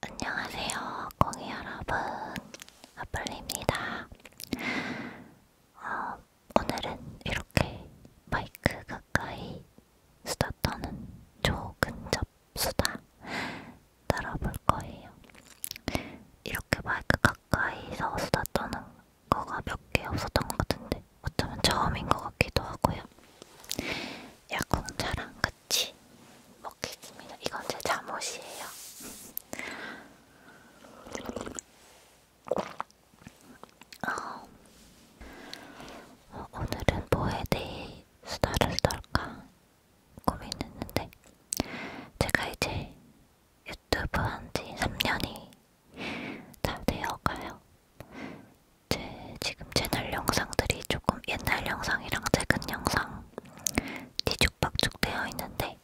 안녕하세요, 공이 여러분. 아플리입니다. 어, 오늘은 이렇게 마이크 가까이 수다 떠는 조근접 수다 따라볼 거예요. 이렇게 마이크 가까이서 수다 떠는 거가 몇 개 없었던 것 같은데 어쩌면 처음인 것 같기도 하고요. 야공차랑 같이 먹겠습니다. 이건 제 잠옷이에요. 어. 어, 오늘은 뭐에 대해 수다를 떨까 고민했는데 제가 이제 유튜브 한 지 3년이 다 되어가요. 제 지금 채널 영상들이 조금 옛날 영상이랑 최근 영상 뒤죽박죽 되어 있는데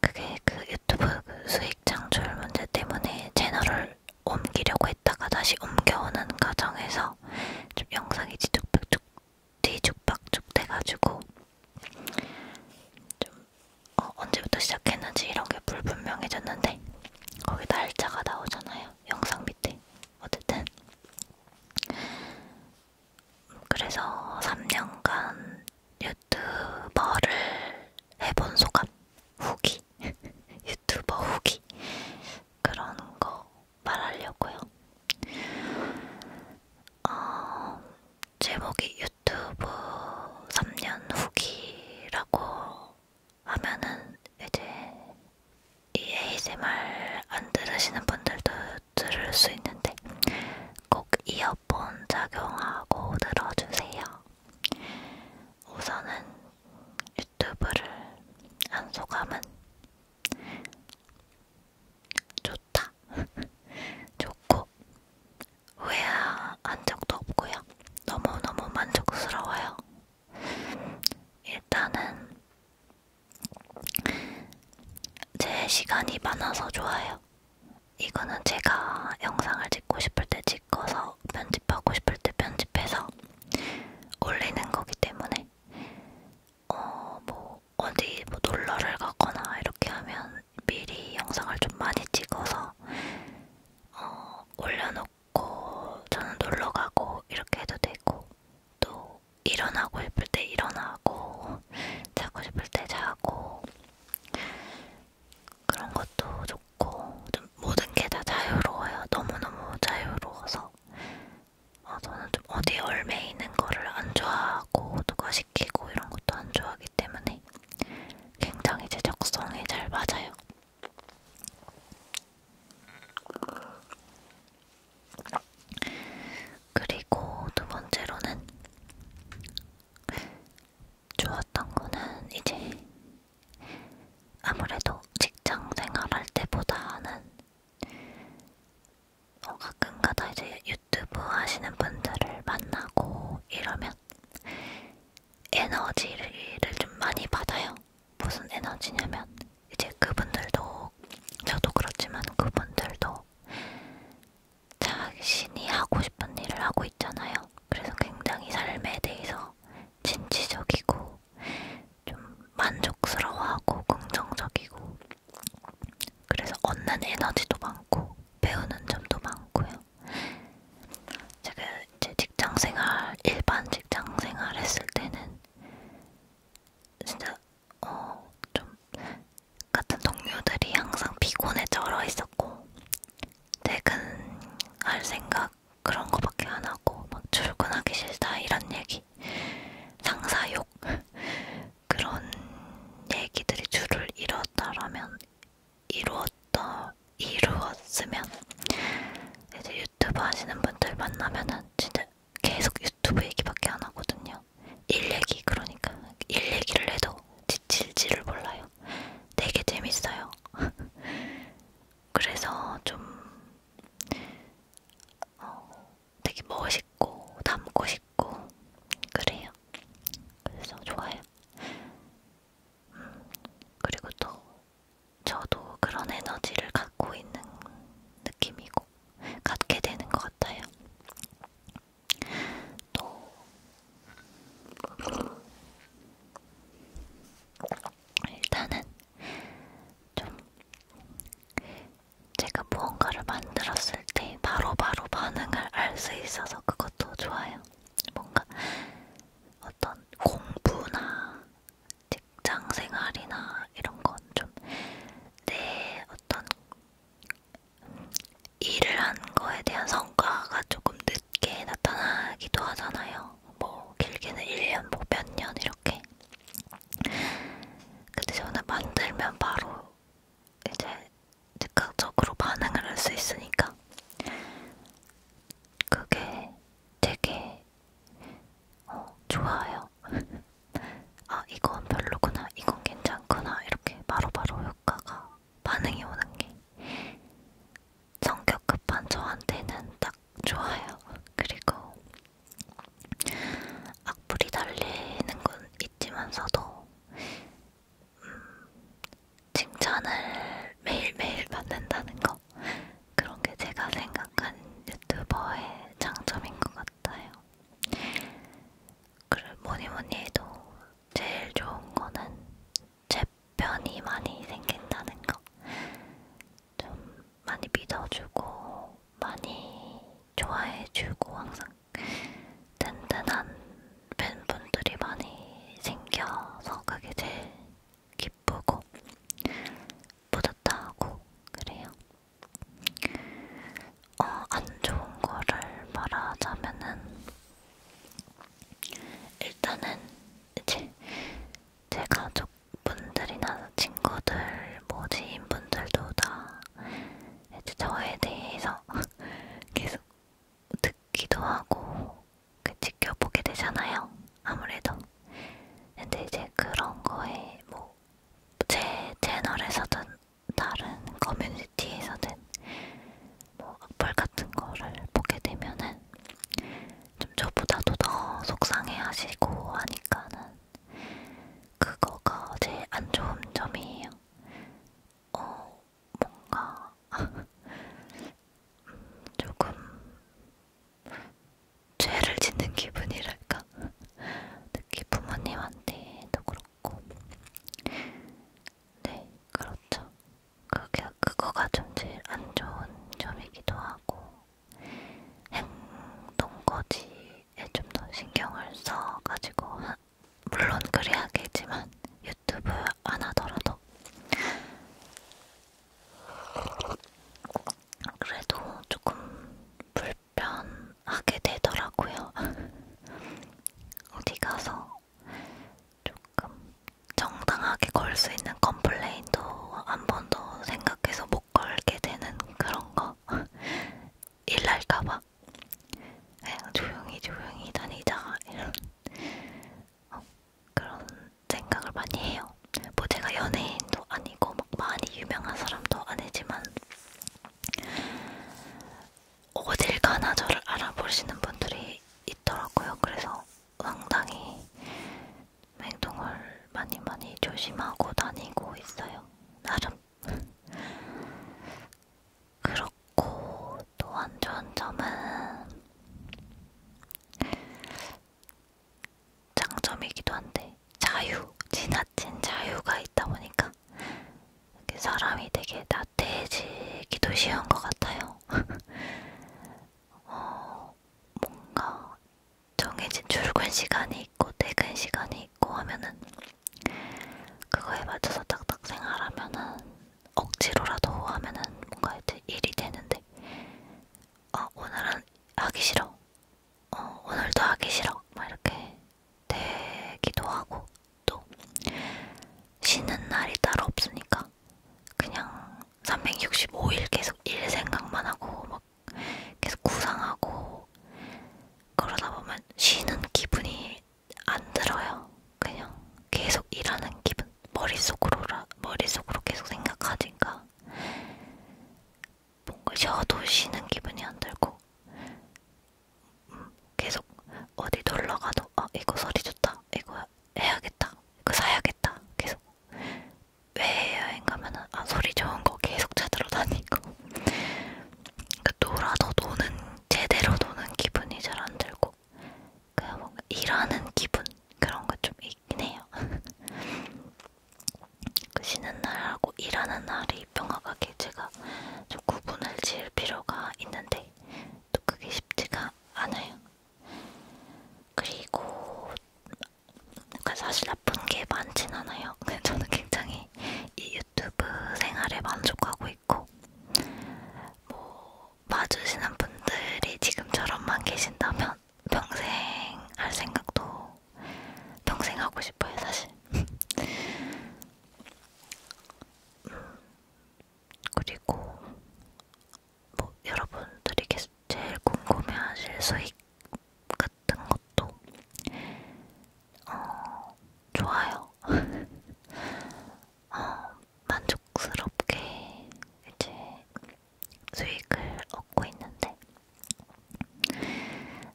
그게 그 유튜브 그 수익 창출 문제 때문에 채널을 옮기려고 했다가 다시 옮겨오는 과정에서 좀 영상이 뒤죽박죽 뒤죽박죽 돼가지고 좀 어, 언제부터 시작했는지 이런 게 불분명해졌는데 거기 날짜가 나오잖아요 영상 밑에 어쨌든 그래서 3년간 유튜버를 해본 소감, 후기, 유튜버 후기 그런 거 말하려고요. 어, 제목이 유튜브 3년 후기라고 하면은 이제 이 ASMR 안 들으시는 분들도 들을 수 있는데 꼭 이어폰 착용하고 들어주세요. 우선은 유튜브를 한 소감은 좋다. 좋고 후회한 적도 없고요. 너무너무 만족스러워요. 일단은 제 시간이 많아서 좋아요. 이거는 제가 영상을 찍고 싶을 때 찍어서 편집하고 싶을 때 편집해서 올리는 거기 때문에 어, 뭐 어디 뭐 놀러를 가거나 이렇게 하면 미리 영상을 좀 많이 찍어서 어, 올려놓고 저는 놀러 가고 이렇게 해도 되고 또 일어나고 싶을 때 일어나고 자고 싶을 때 자고 그런 것도 좋고 좀 모든 게 다 자유로워요. 너무너무 자유로워서 어, 저는 좀 어디 얼매 있는 거를 안 좋아하고 누가 시키고 이런 것도 안 좋아하기 때문에 굉장히 제 적성에 잘 맞아요. 그리고 두 번째로는 좋았던 거는 이제 아무래도 직장 생활할 때보다는 어, 가끔가다 이제 유튜브 하시는 분들을 만나고 이러면 에너지를 좀 많이 받아요. 무슨 에너지냐면 이제 그분들도 저도 그렇지만 그분들도 자신이 하고 싶은 일을 하고 있잖아요. 그래서 굉장히 삶에 대해서 진취적이고 좀 만족스러워하고 긍정적이고 그래서 얻는 에너지도 많고 배우는 점도 많고요. 제가 이제 직장생활 일반 직장생활 했을 때는 진짜 어, 좀 같은 동료들이 항상 피곤에 쩔어 있었고 퇴근할 생각 그런 거밖에 안 하고 막 출근하기 싫다 이런 얘기 상사욕 그런 얘기들이 줄을 이뤘다라면 이루었다 이루었으면 이제 유튜브 하시는 분들 만나면은 진짜 계속 유튜브 얘기밖에 안 하거든요. 일 얘기 그러니까 일 얘기를 해도 지칠지를 몰라요. 되게 재밌어요. 그래서 좀 어, 되게 멋있고 닮고 싶고 그래요. 그래서 좋아요. 음, 그리고 또 저도 그런 에너지를 갖고 있는 느낌이고. 갖게 되는 것 같아요. 또 일단은 좀 제가 무언가를 만들었을 때 바로바로 바로 반응을 알 수 있어서 그것도 좋아요. 뭔가 어떤 공부나 직장 생활이나 이런 건좀내 어떤 일을 한 거에 대한 성과가 조금 늦게 나타나기도 하잖아요. 뭐 길게는 1년, 뭐몇년 이렇게. 근데 저는 만들면 바로 이제 즉각적으로 반응을 할 수 있으니까 그게 되게 어, 좋아요. 있어요. 아, 이건 별로구나, 이건 괜찮구나, 이렇게 바로바로 바로 효과가, 반응이 오는 게 성격 급한 저한테는 딱 좋아요. 그리고 악플이 달리는 건 있지만서도 음, 칭찬을 매일매일 받는다는 거 그런 게 제가 생각한 유튜버의 장점인 것 같아요. 같아요. 그래 뭐니 뭐니 해도 제일 좋은 거는 제 편이 많이 생긴다는 거. 좀 많이 믿어주고, 많이 좋아해주고, 항상 든든한 팬분들이 많이 생겨서 그게 제일 기쁘고 뿌듯하고 그래요. 어, 안 좋은 거를 말하자면은 일단은 이제 제 가족분들이나 친구들, 뭐 지인분들도 다 이제 저에 대해서 계속 듣기도 하고 그 지켜보게 되잖아요. 아무래도 근데 이제 그런 거에 뭐제 채널에서든 다른 커뮤니티에서든 뭐 악플 같은 거를 보게 되면은 좀 저보다도 더 속상해 하시고 하니까는 그거가 제일 안 좋은 점이에요. 어, 뭔가 음, 조금 죄를 짓는 기분이랄까? 특히 부모님한테도 그렇고 네 그렇죠 그게, 그거가 좀 제일 안 좋은 점이기도 하고 행동거지에 좀 더 신경을 써가지고 하, 물론 그리 하겠지만 유튜브 안 하더라도 그래도 조금 불 답변하게 되더라고요. 어디 가서 조금 정당하게 걸 수 있는 컴플레인도 한 번 더 생각해서 못 걸게 되는 그런 거. 일날까봐. 그냥 네, 조용히 조용히 다니자. 이런 어, 그런 생각을 많이 해요. 뭐 제가 연예인도 아니고 막 많이 유명한 사람도 아니지만 어딜 가나 저를 알아보시는 분들이 있더라고요. 그래서 상당히 행동을 많이 많이 조심하고 다니고 있어요. 나름. 그렇고 또안 좋은 점은 장점이기도 한데 자유, 지나친 자유가 있다 보니까 사람이 되게 나태해지기도 쉬운 것 같아요. 어, 뭔가 정해진 출근 시간이 있고 퇴근 시간이 있고 하면은 그거에 맞춰서 딱딱 생활하면은 억지로라도 하면은 뭔가 이제 일이 되는데 아 오늘은 하기 싫어 어, 오늘도 하기 싫어 막 이렇게 되기도 하고 또 쉬는 날이 따로 없으니까 그냥 365일 계속 일 생각만 하고 막 계속 구상하고 그러다 보면 쉬는 기분이 안 들어요. 그냥 계속 일하는 기분. 머릿속으로, 머릿속으로 계속 생각하니까. 뭔가 쉬어도 쉬는 기분이 안 들고 음, 계속 어디 놀러 가도 아 이거 소리 좋다 이거 해야겠다 이거 사야겠다 계속 왜 여행 가면은 아 소리 좋은 거 계속 찾으러 다니고 그러니까 놀아도 노는 제대로 노는 기분이 잘 안 들고 그냥 뭔가 일하는 기분 그런 거 좀 있긴 해요. 그 쉬는 날하고 일하는 날이 명확하게 제가 좀 구분을 지을 필요가 있는데 또 그게 쉽지가 않아요. 그리고 그러니까 사실 나쁜 게 많진 않아요. 근데 저는 굉장히 이 유튜브 생활에 만족하고 있고 뭐 봐주시는 분들이 지금처럼만 계신다면 평생 할 생각도 평생 하고 싶어요, 사실. 그리고 뭐 여러분들이 제일 궁금해하실 수익 같은 것도 어, 좋아요. 어, 만족스럽게 이제 수익을 얻고 있는데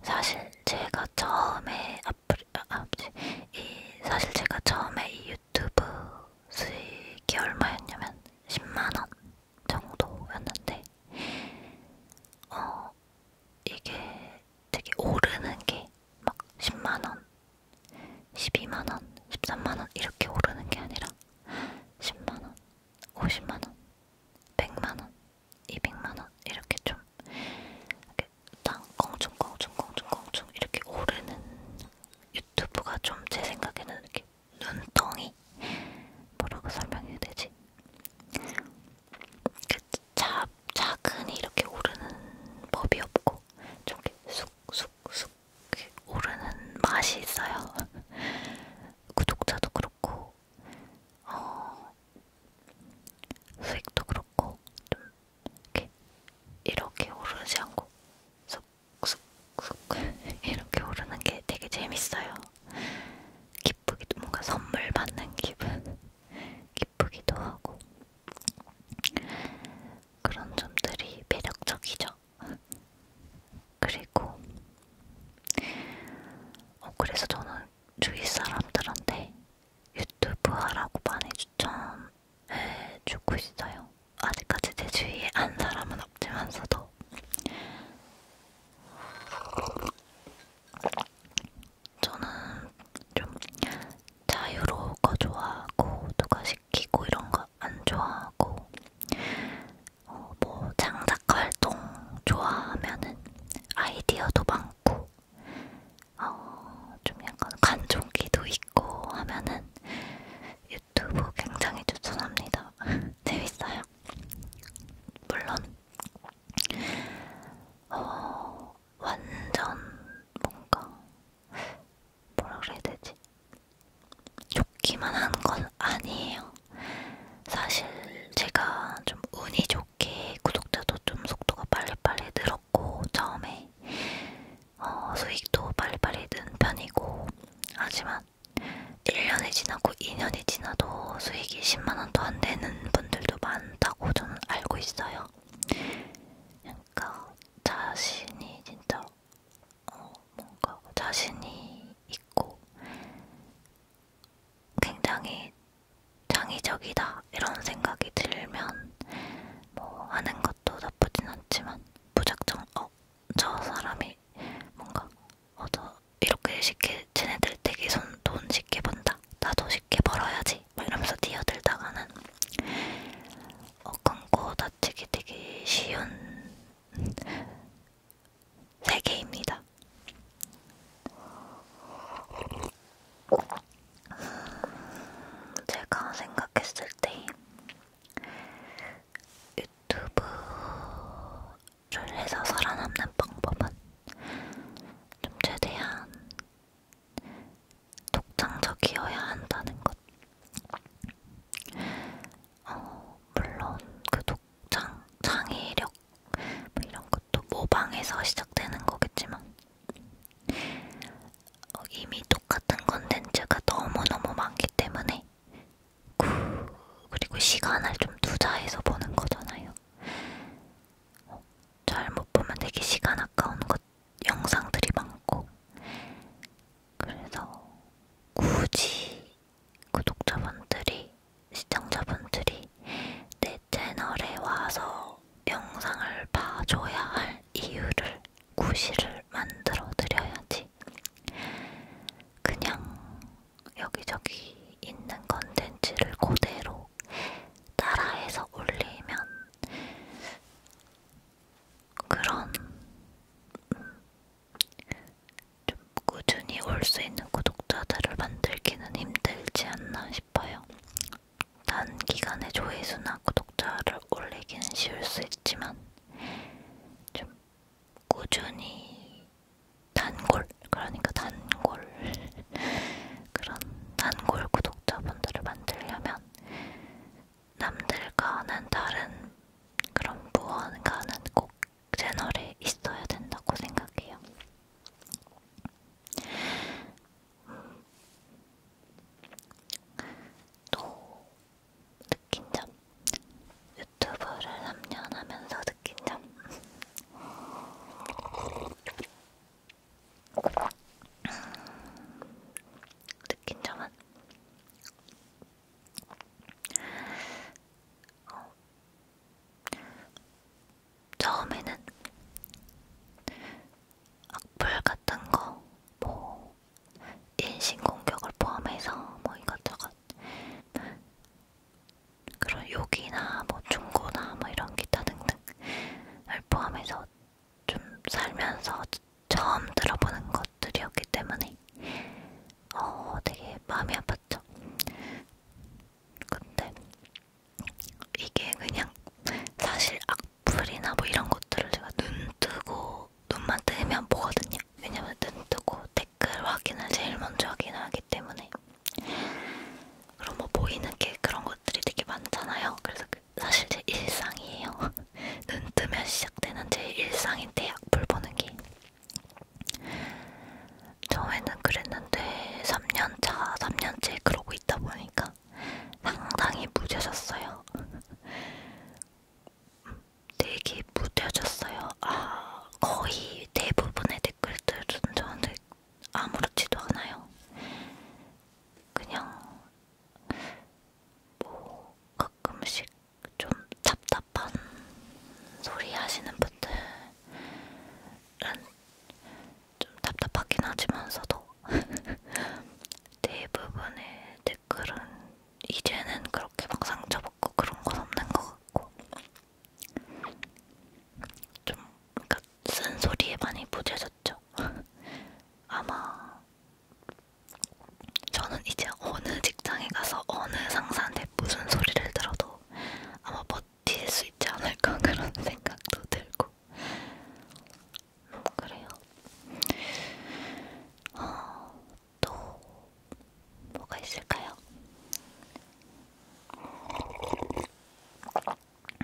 사실 제가 처음에 아프리 아, 아 이 사실 제가 처음에 이 유튜브 수익이 얼마였냐면 10만원 정도였는데 어 이게 되게 오르는 게 막 10만원 12만원 13만원 이렇게 오르는 게 아니라 10만원 50만원 100만원 200만원 이렇게 좀 이렇게 땅 껑충껑충껑충껑충 이렇게 오르는 유튜브가 좀 제 생각에는 이렇게 눈덩이 뭐라고 설명해야 되지? 그 자, 작은 이렇게 오르는 법이 없고 좀 이렇게 쑥쑥쑥 오르는 맛이 있어요. 구독자도 그렇고 어, 수익도 그렇고 좀 이렇게 이렇게 오르지 않고 쑥쑥쑥 이렇게 오르는 게 되게 재밌어요. 기쁘기도 뭔가 선물 받는 기분 기쁘기도 하고 그런 점들이 매력적이죠. 그리고 어, 그래서 저는 주위 사람들한테 유튜브 하라고 많이 추천해주고 있어요. 아직까지 제 주위에 한 사람은 없지만서도 저는 좀 자유로운 거 좋아하고 누가 시키고 이런 거 안 좋아하고 어, 뭐 창작 활동 좋아하면은 아이디어도 많고 어, 좀 약간 관종기도 있고 하면은 유튜브 굉장히 추천합니다. 재밌어요. 물론 어, 완전 뭔가 뭐라 그래야 되지? 좋기만 한 건 아니에요. 사실 제가 좀 운이 좋게 구독자도 좀 속도가 빨리빨리 늘었고 처음에 어, 수익도 빨리빨리 는 편이고 하지만 1년이 지나고 2년이 지나도 수익이 10만원도 안 되는 분들도 많다고 저는 알고 있어요. 그러니까 자신이 진짜 어, 뭔가 자신이 있고 굉장히 창의적이다 이런 생각이 들면 뭐 하는 것도 나쁘진 않지만 무작정 어? 저 사람이 뭔가 어, 저 이렇게 쉽게 쟤네들 되게 손, 돈 쉽게 번다 나도 쉽게 벌어야지 막 이러면서 뛰어들다가는 어, 끊고 다치기 되게 쉬운 3개입니다. 제가 생각했을 때 유튜브를 해서 살아남는 방법은 좀 최대한 독창적이어야 한다는 것. 어, 물론 그 독창, 창의력 뭐 이런 것도 모방해서 시작되는 거겠지만 어, 이미 똑같은 컨텐츠가 너무너무 많기 때문에 그리고 시간을 좀 투자해서 보는 거잖아요. 어, 잘못 보면 되게 시간 아까운 것 영상들이 많고 그래서 굳이 구독자분들이, 시청자분들이 내 채널에 와서 영상을 봐줘야 할 이유를, 구실을 만들어 드려야지. 그냥 여기저기 있는 컨텐츠를 그대로 따라해서 올리면 그런 음, 좀 꾸준히 올 수 있는 구독자들을 만들기는 힘들지 않나 싶어요. 단기간에 조회수나 구독자를 올리기는 쉬울 수 있지만 좀 꾸준히 단골, 그러니까 단골 그런 단골 구독자분들을 만들려면 남들과는 다른 그런 무언가는 꼭 채널에 있어야 된다고 생각해요. 또 느낀 점 유튜브를 3년 하면서 느낀 점 느낀 점은 어, 처음에는 악플 같은 거, 뭐 인신 공격을 포함해서 뭐 이것저것 그런 욕이나 뭐 중고나 뭐 이런 기타 등등을 포함해서 좀 살면서 처음 들어보는 것들이었기 때문에 어 되게 마음이 아팠어요. 있었죠. 그렇죠. 근데 이게 그냥 사실 악플이나 뭐 이런 것들을 제가 눈 뜨고 눈만 뜨면 보거든요. 왜냐면 눈 뜨고 댓글 확인을 제일 먼저 확인을 하기 때문에 그럼 뭐 보이는 게 그런 것들이 되게 많잖아요. 그래서 그 사실 제 일상이에요. 눈 뜨면 시작되는 제 일상인데 악플 보는 게 저희는 그랬는데 3년차, 3년째 그러고 있다 보니까 상당히 무뎌졌어요. 되게 무뎌졌어요. 아, 거의 대부분의 댓글들은 저한테 아무렇지도 않아요. 그냥 뭐 가끔씩 좀 답답한 소리 하시는 분들 좀 답답하긴 하지만서도 대부분의 댓글은 이제는 그렇게 막 상처받고 그런 건 없는 것 같고 좀 그러니까 쓴소리에 많이 부재졌죠. 아마 저는 이제 어느 직장에 가서 어느 상사한테 무슨 소리를 들어도 아마 버틸 수 있지 않을까 그런 생각도 들고 뭐 그래요. 어, 또 뭐가 있을까요?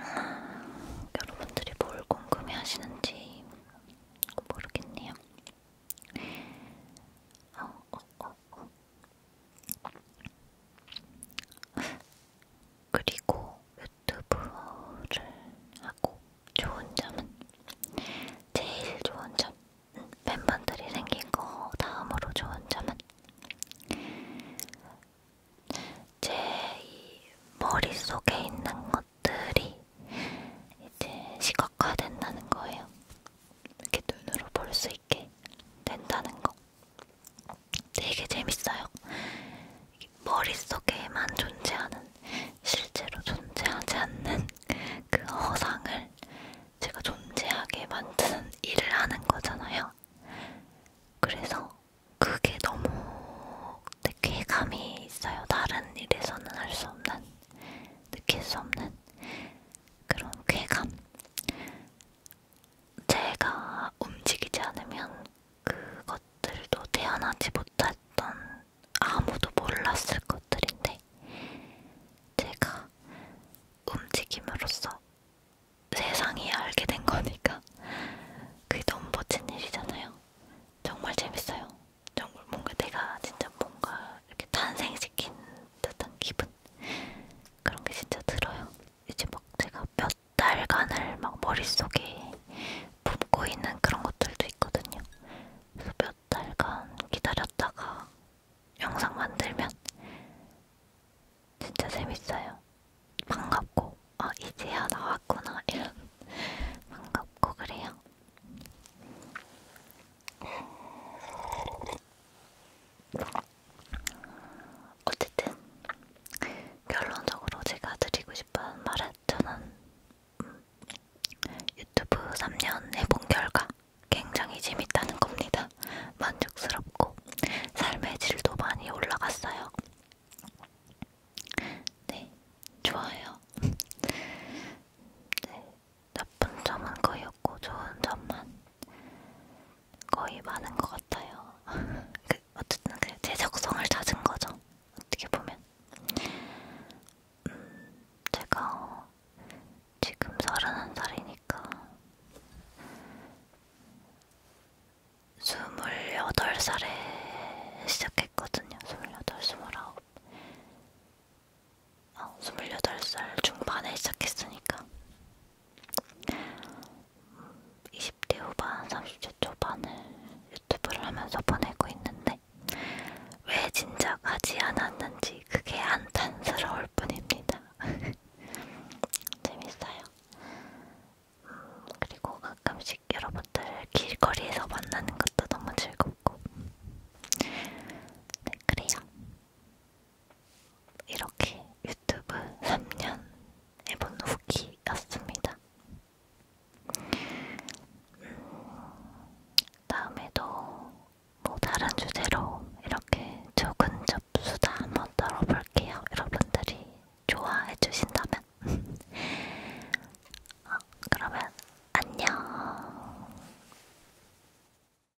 아, 여러분들이 뭘 궁금해하시는지 모르겠네요. 어, 어, 어, 그리고 유튜브를 하고 좋은 점은 제일 좋은 점 팬분들이 생긴 거 다음으로 좋은 점은 제이 머릿속에 있는 것들이 이제 시각화된다는 거예요. 이렇게 눈으로 볼 수 있게 된다는 거 되게 재밌어요. 머릿속에만 존재하는 실제로 존재하지 않는 그 허상을 제가 존재하게 만드는 일을 하는 거잖아요. 그래서 그게 너무 쾌감이 있어요. 다른 일에서는 할 수 없는, 느낄 수 없는 그런 쾌감, 제가 움직이지 않으면 그것들도 태어나지 못했던 아무도 몰랐을 것들인데 제가 움직임으로써 세상이 알게 된 거니까 그게 너무 멋진 일이잖아요. 정말 재밌어요. 정말 뭔가 내가 진짜 뭔가 이렇게 탄생시킨 듯한 기분. 그런 게 진짜 들어요. 이제 막 제가 몇 달간을 막 머릿속에 품고 있는 그런 것들도 있거든요. 그래서 몇 달간 기다렸다가 영상 만들면 진짜 재밌어요. 반갑고, 아, 이제야 나왔구나. 이런. 반갑고, 그래요. 어쨌든 결론적으로 제가 드리고 싶은 말은 저는 음, 유튜브 3년 해본 결과 굉장히 재밌다는 겁니다. 만족스럽고 삶의 질도 많이 올라갔어요. 네, 좋아요. 네, 나쁜 점은 거의 없고 좋은 점만 거의 많은 것 같아요. 그 어쨌든 그제 적성을 찾은 거죠. 어떻게 보면 음, 제가 지금 서른한 살이니까 스물여덟 살에 시작했거든요. 스물여덟, 스물아홉. 어, 아, 28살 중반에 시작했으니까 20대 음, 후반, 30대 초반을 유튜브를 하면서 보내고 있는데 왜 진작 하지 않았는지 그게 안탄스러울 뿐입니다. 재밌어요. 음, 그리고 가끔씩 여러분들을 길거리에서 만나는 것도 너무 즐겁고 네, 그래요. 이렇게 유튜브 3년 해본 후기였습니다. 음, 다음에도 뭐 다른 주제로 이렇게 조근 접수다 한번 떨어볼게요. 여러분들이 좋아해 주신다면. 어, 그러면 안녕.